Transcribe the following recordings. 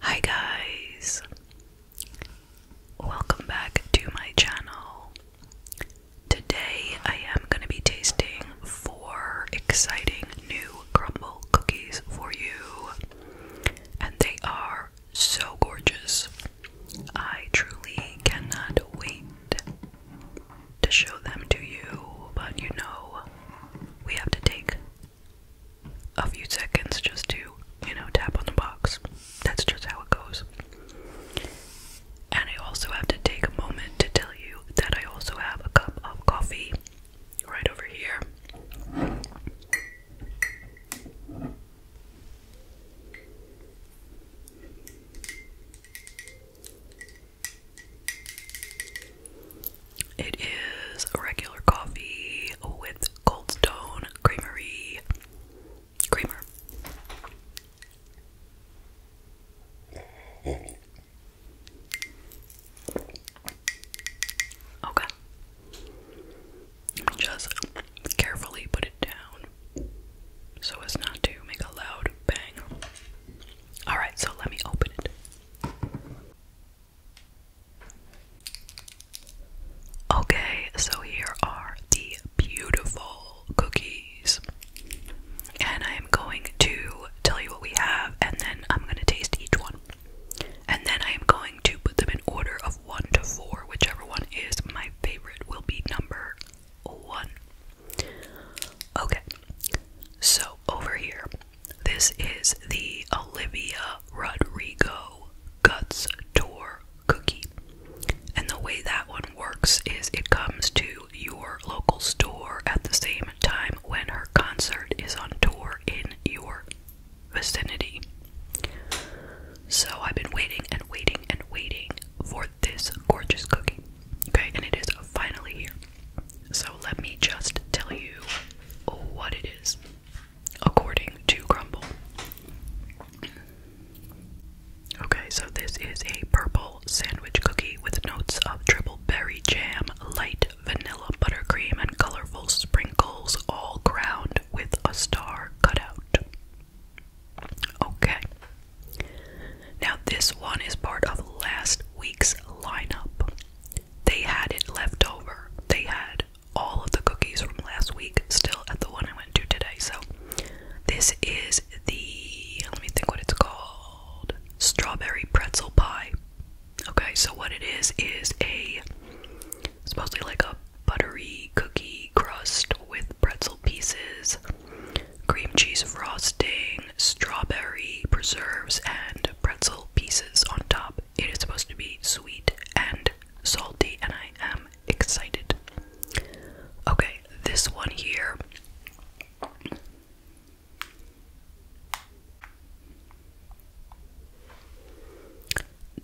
Hi guys! Welcome back to my channel. Today I am going to be tasting four exciting new crumble cookies for you, and they are so gorgeous. I truly cannot wait to show them to you, but you know, we have to take a few seconds just to, you know, tap on the box. That's just how it goes. And I also have to take a moment to tell you that I also have a cup of coffee right over here. It is regular coffee with Cold Stone Creamery creamer. Okay. Just carefully put it down so as not to make a loud bang. Alright, so let me open it. Okay, so here are the beautiful cookies. And I am going to tell you what we have, and then I'm going to taste each one. And then I am going to put them in order of 1 to 4. Whichever one is my favorite will be number 1. Okay, so over here this is the Olivia Rodrigo Guts Tour cookie. And the way that one works is it comes to your local store at the same time when her concert is on tour in your vicinity. So I've been waiting and waiting and waiting for this gorgeous cookie. Okay, and it is finally here. So let me just tell you what it is, according to Grumble. Okay, so this is a purple sandwich cookie with notes of triple berry jam, light vanilla buttercream, and colorful sprinkles, all crowned with a star cutout. Okay. Now, this one is part of last week's lineup. They had it left over. They had all of the cookies from last week still at the one I went to today. So this is the let me think what it's called. Strawberry pretzel pie. Okay, so what it is is a it's mostly like a buttery cookie crust with pretzel pieces, cream cheese frosting, strawberry preserves, and pretzel pieces on top. It is supposed to be sweet and salty, and I am excited. Okay, this one here.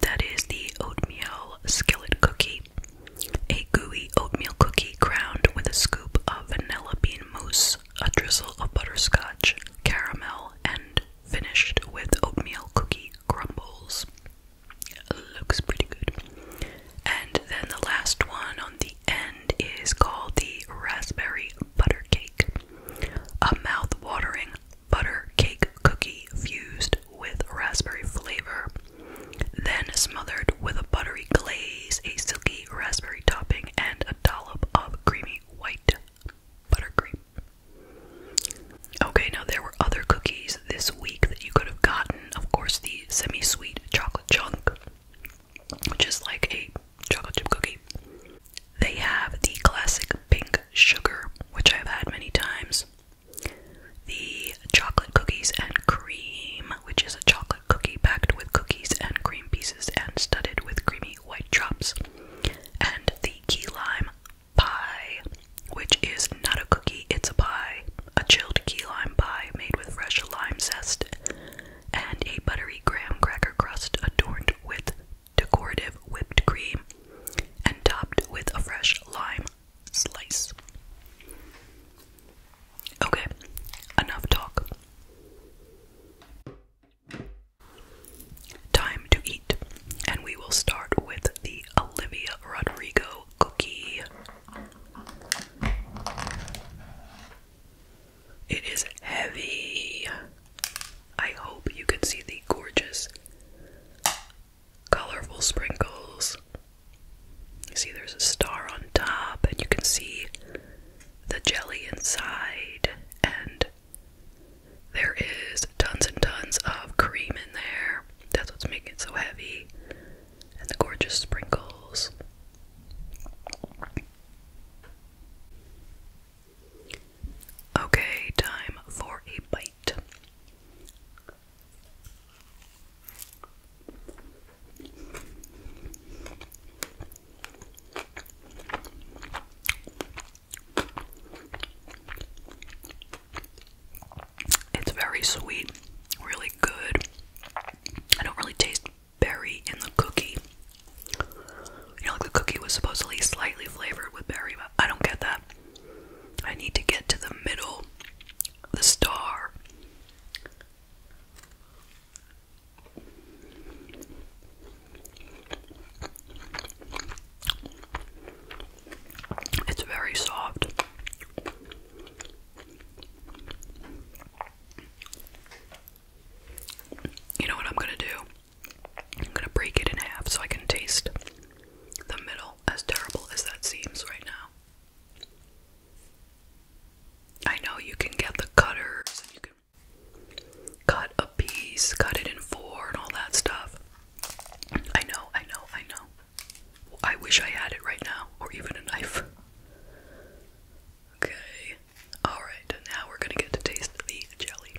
That is the oatmeal skillet cookie. A gooey oatmeal cookie crowned with a scoop of vanilla bean mousse a drizzle of butterscotch, caramel, and finished with oatmeal cookie crumbles. Looks pretty good. And then the last one on the end is called the raspberry butter cake, a mouth-watering butter cake cookie fused with raspberry flavor, then smothered with a buttery glaze, a silky raspberry topping and a dollop of creamy white buttercream. Okay, now there were other cookies this week that you could have gotten. Of course, the semi sweet chocolate chunk, which is like a chocolate chip cookie. They have the classic pink sugar, which I've had many times. The chocolate cookies and cream, which is a chocolate cookie packed with cookies and cream pieces and studded with creamy white chops. And the key lime pie, which is not a cookie, it's a pie. A chilled key lime pie made with fresh lime zest and a buttery graham cracker crust adorned with decorative whipped cream and topped with a fresh lime slice. Okay, enough talk. Time to eat, and we will start with the Olivia Rodrigo cookie. It is heavy. I hope you can see the gorgeous, colorful sprinkles. You see, there's a star on top, and you can see the jelly inside, and there is tons and tons of cream in there. That's what's making it so heavy, and the gorgeous sprinkles. Okay, time for a bite. It's very sweet, really good. I don't really taste berry in the cookie. You know, like the cookie was supposedly slightly flavored with berry, but I don't get that. I need to get to the middle, the star. It's very soft. You know what I'm gonna do? I'm gonna break it in half so I can taste the middle, as terrible as that seems right now. I know you can get the cutters and you can cut a piece, cut it in four, and all that stuff. I know, I know, I know. I wish I had it right now, or even a knife. Okay, alright, now we're gonna get to taste the jelly.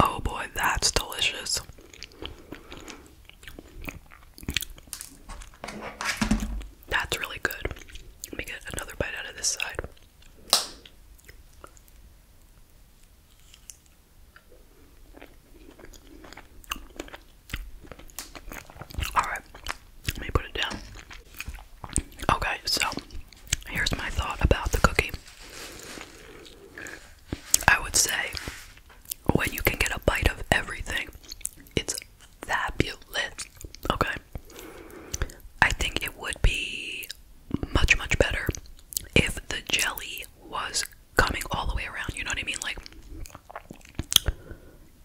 Oh boy, that's delicious. That's really good. Let me get another bite out of this side. All right, let me put it down. Okay, so here's my thought about the cookie. I would say when you can get a bite of everything, it's fabulous. Okay. I think it would be much, much better if the jelly was coming all the way around. You know what I mean? Like,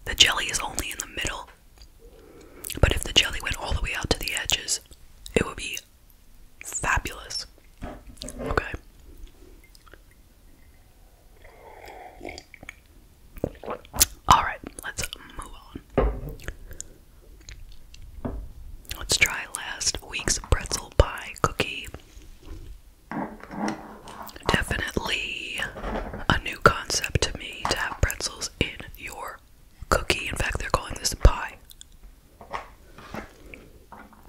the jelly is only in the middle, but if the jelly went all the way out to the edges, it would be fabulous. Okay. Alright, let's move on. Let's try last week's pretzel pie cookie. Definitely a new concept to me to have pretzels in your cookie. In fact, they're calling this a pie.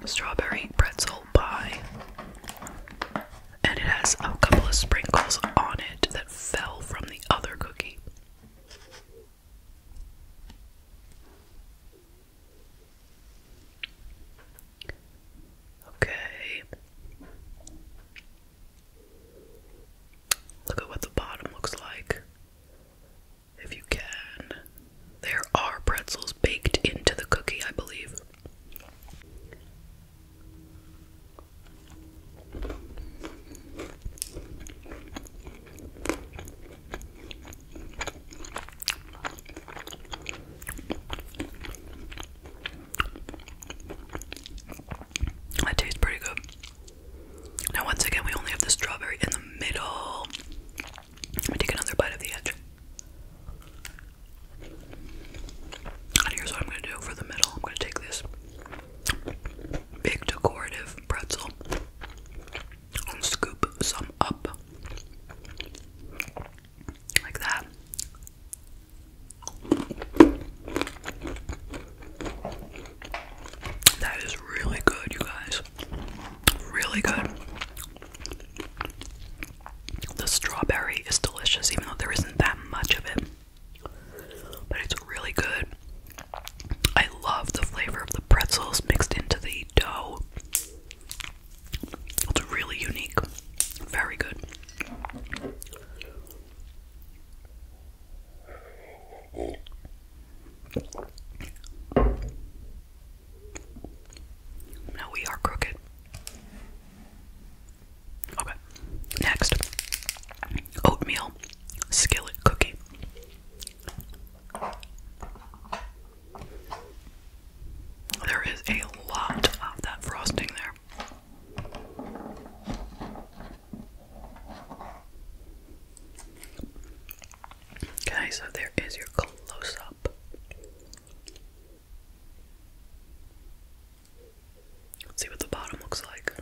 Strawberry pretzel pie. And it has a couple of sprinkles on it that fell from the other cookie. Okay. Look at what the bottom looks like. If you can. There are pretzels baked into the cookie, I believe. That tastes pretty good. Now, once again, we only have the strawberry in the middle. Let me take another bite of the edge. And here's what I'm gonna do for the middle. I'm gonna take this big decorative pretzel and scoop some up like that. That is really good, you guys. Really good. The strawberry is delicious, even though there isn't that much of it. But it's really good. I love the flavor of the pretzels mixed into the dough. It's really unique. Very good. Now we are crooked. Okay. Next. Oatmeal skillet cookie. There is a lot of that frosting there. Okay, so there is your close up. see what the bottom looks like.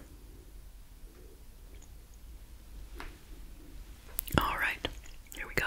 Alright, here we go.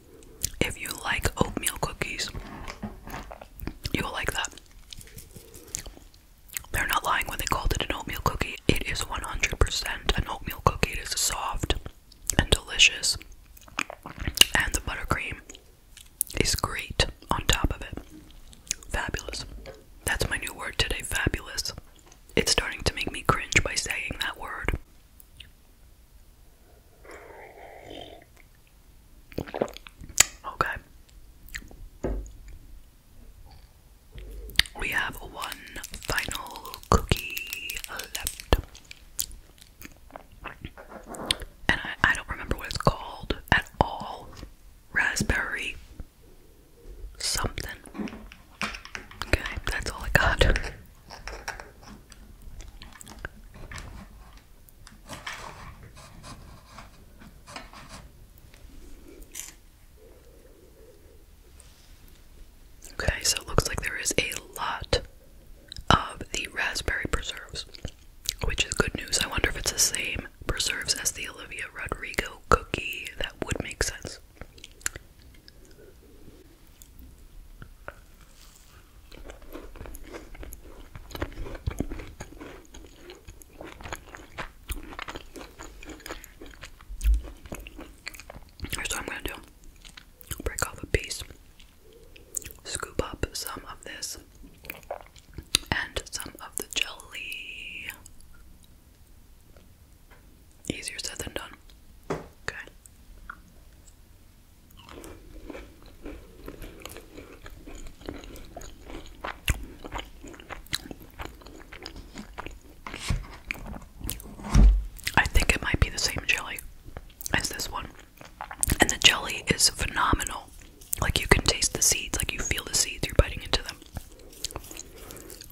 If you like oatmeal cookies, you'll like that. They're not lying when they called it an oatmeal cookie. It is 100% an oatmeal cookie. It is soft and delicious. And the buttercream is great on top of it. Fabulous. That's my new word today, fabulous. It's starting to make me cringe by saying that word. Okay. We have one final cookie left. And I, I don't remember what it's called at all. Raspberry something. Okay, that's all I got. Okay, so it looks like there is a lot of the raspberry preserves, which is good news. I wonder if it's the same preserves as the Olivia Rodrigo cookie. That would make sense. Here's what I'm gonna do break off a piece, scoop up some of this, and some of the jelly. Easier said than done. Okay. I think it might be the same jelly as this one. And the jelly is phenomenal. Like you can taste the seeds, like you feel the seeds, you're biting into them.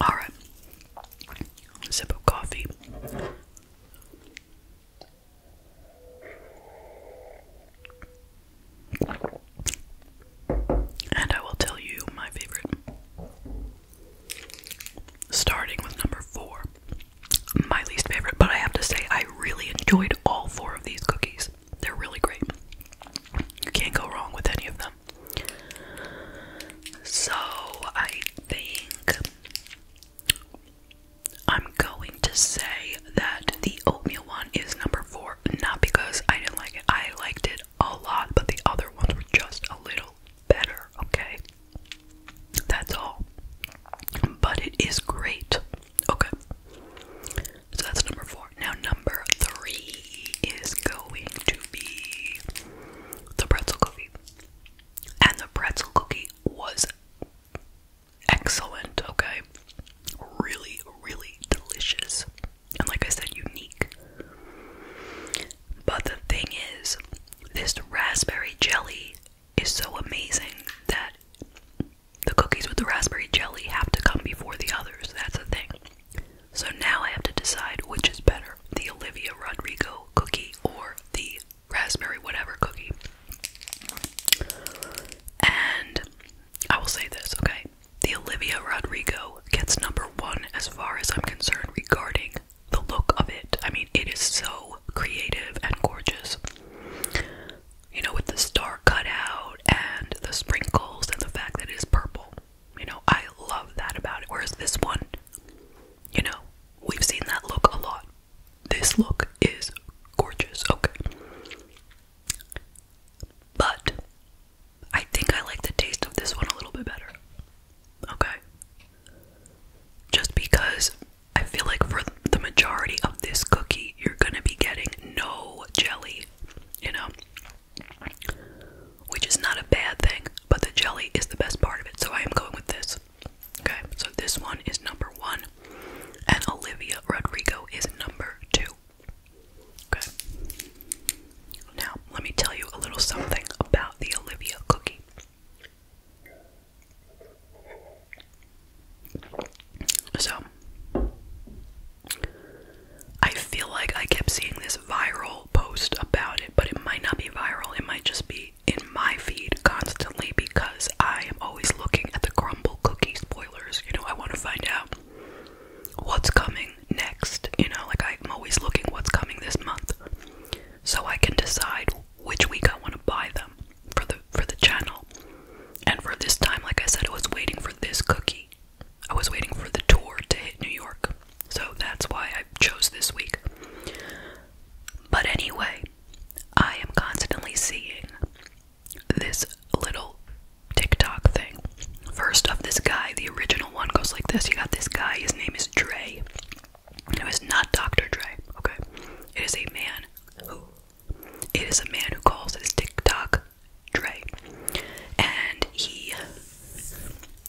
Alright. Sip coffee. And I will tell you my favorite. Starting with number four, my least favorite, but I have to say, I really enjoyed all four of these cookies. They're really great. You can't go wrong with any of them. So I think I'm going to say that the oatmeal one is number four, not because I didn't like it. I liked it a lot, but the other ones were just a little better, okay? That's all. But it is great, okay? So that's number four. Now, number three is going to be the pretzel cookie. And the pretzel cookie was excellent, okay? Really, really delicious. And like I said, unique. But the thing is, this raspberry jelly is so amazing that the cookies with the raspberry jelly have to come before the others. That's the thing. So now I have to decide which is better the Olivia Rodrigo cookie or the raspberry whatever cookie. And I will say this, okay? The Olivia Rodrigo gets number one as far as I'm concerned regarding the look of it. I mean, it is so creative and gorgeous. You know, with the star cutout and the sprinkles and the fact that it is purple. You know, I love that about it. Whereas this one, you know, we've seen that look a lot. This look is gorgeous, okay. But I think I like the taste of this one a little bit better. Okay. Just because I feel like for the majority of this cookie, you're gonna be getting no jelly, you know? which is not a bad thing, but the jelly is the best part of it, so I am going with this. Okay, so this one is number one, and Olivia Rodrigo is number two. Okay. Now, let me tell you a little something about the Olivia cookie. So, I feel like I kept seeing this viral post about it, but it might not be viral. It might just be in my feed constantly because I am always looking at the crumble cookie spoilers. You know, I want to find out what's coming next. You know, like I'm always looking what's coming this month so I can decide which week I want to buy them for the for the channel. And for this time, like I said, I was waiting for this cookie. I was waiting for the tour to hit New York, so that's why I chose this week. But anyway, I am constantly seeing this little TikTok thing. First, of this guy, the original one goes like this. You got this guy, his name is Dre. it's not Dr. Dre, okay? It is a man who. It is a man who calls his TikTok Dre. And he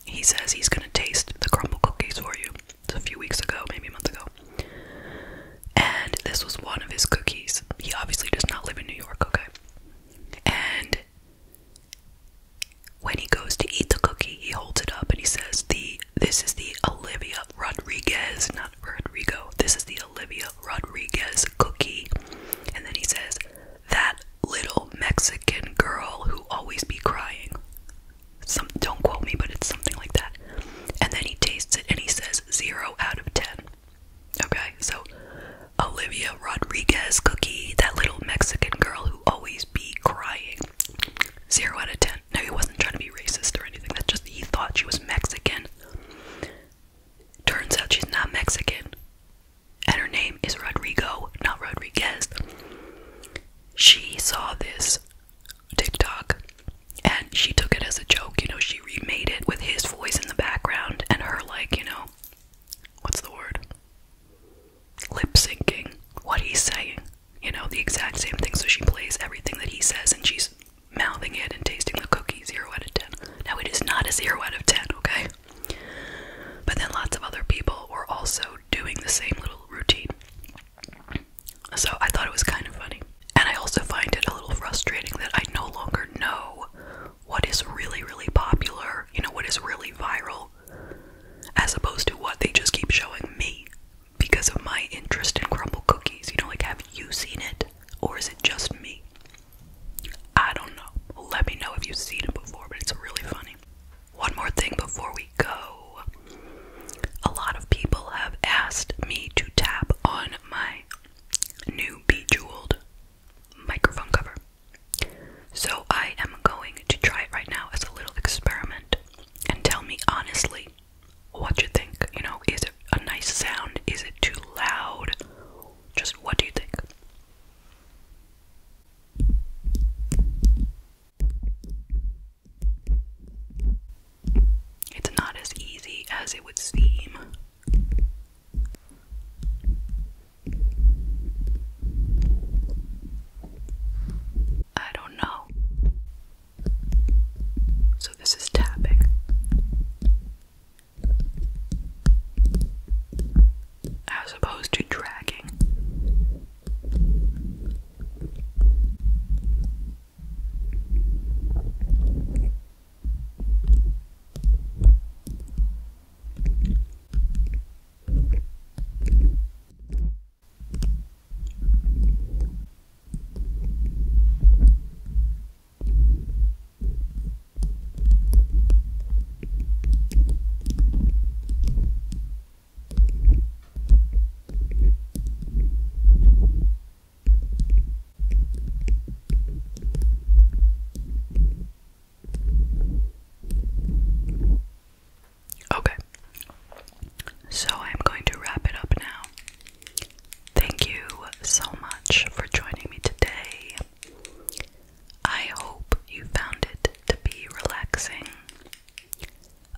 he says he's gonna taste the crumble cookies for you. It's a few weeks ago, maybe a month ago. And this was one of his cookies. He obviously does not live in New York, okay? And when he goes to eat the cookie, he holds it up and he says, "The this is the Olivia Rodriguez, not Rodrigo. This is the Olivia Rodriguez cookie." And then he says, that little Mexican girl who always be crying. don't quote me, but it's something like that. And then he tastes it and he says zero out of ten. Okay, so Olivia Rodriguez cookie, that little Mexican girl who always be crying. Zero out of ten. No, he wasn't trying to be racist or anything. That's just he thought she was Mexican. Turns out she's not Mexican and her name is Rodrigo, not Rodriguez. She saw this TikTok and she took it as a joke. You know, she remade it with his voice in the background and her, like, you know, what's the word? Lip syncing what he's saying. You know, the exact same thing. So she plays everything that he says and she's mouthing it and tasting the cookie. Zero out of ten. Now, it is not a zero out of ten, okay? But then lots of other people were also doing the same little routine. So I thought it was kind of funny. And I also find it a little frustrating that I no longer know what is really, really popular, you know, what is really viral, as opposed to what they just keep showing me because of my interest in crumble cookies. You know, like, have you seen it? Or is it just me? I don't know. Let me know if you've seen it before, but it's really funny. One more thing before we go. A lot of people have asked me to tap on my new bejeweled microphone cover. So I am going to try it right now as a little experiment and tell me honestly what you think. You know, is it a nice sound? Is it too loud? Just what do you think? It's not as easy as it would seem. I don't know. So, this is tapping as opposed to dragging. Okay, so I'm going to wrap it up now. Thank you so much for joining me today. I hope you found it to be relaxing.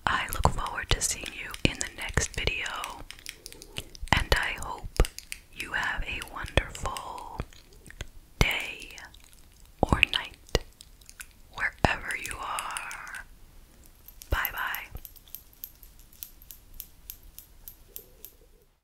I look forward to seeing you in the next video, and I hope you have a wonderful day or night wherever you are. Bye bye.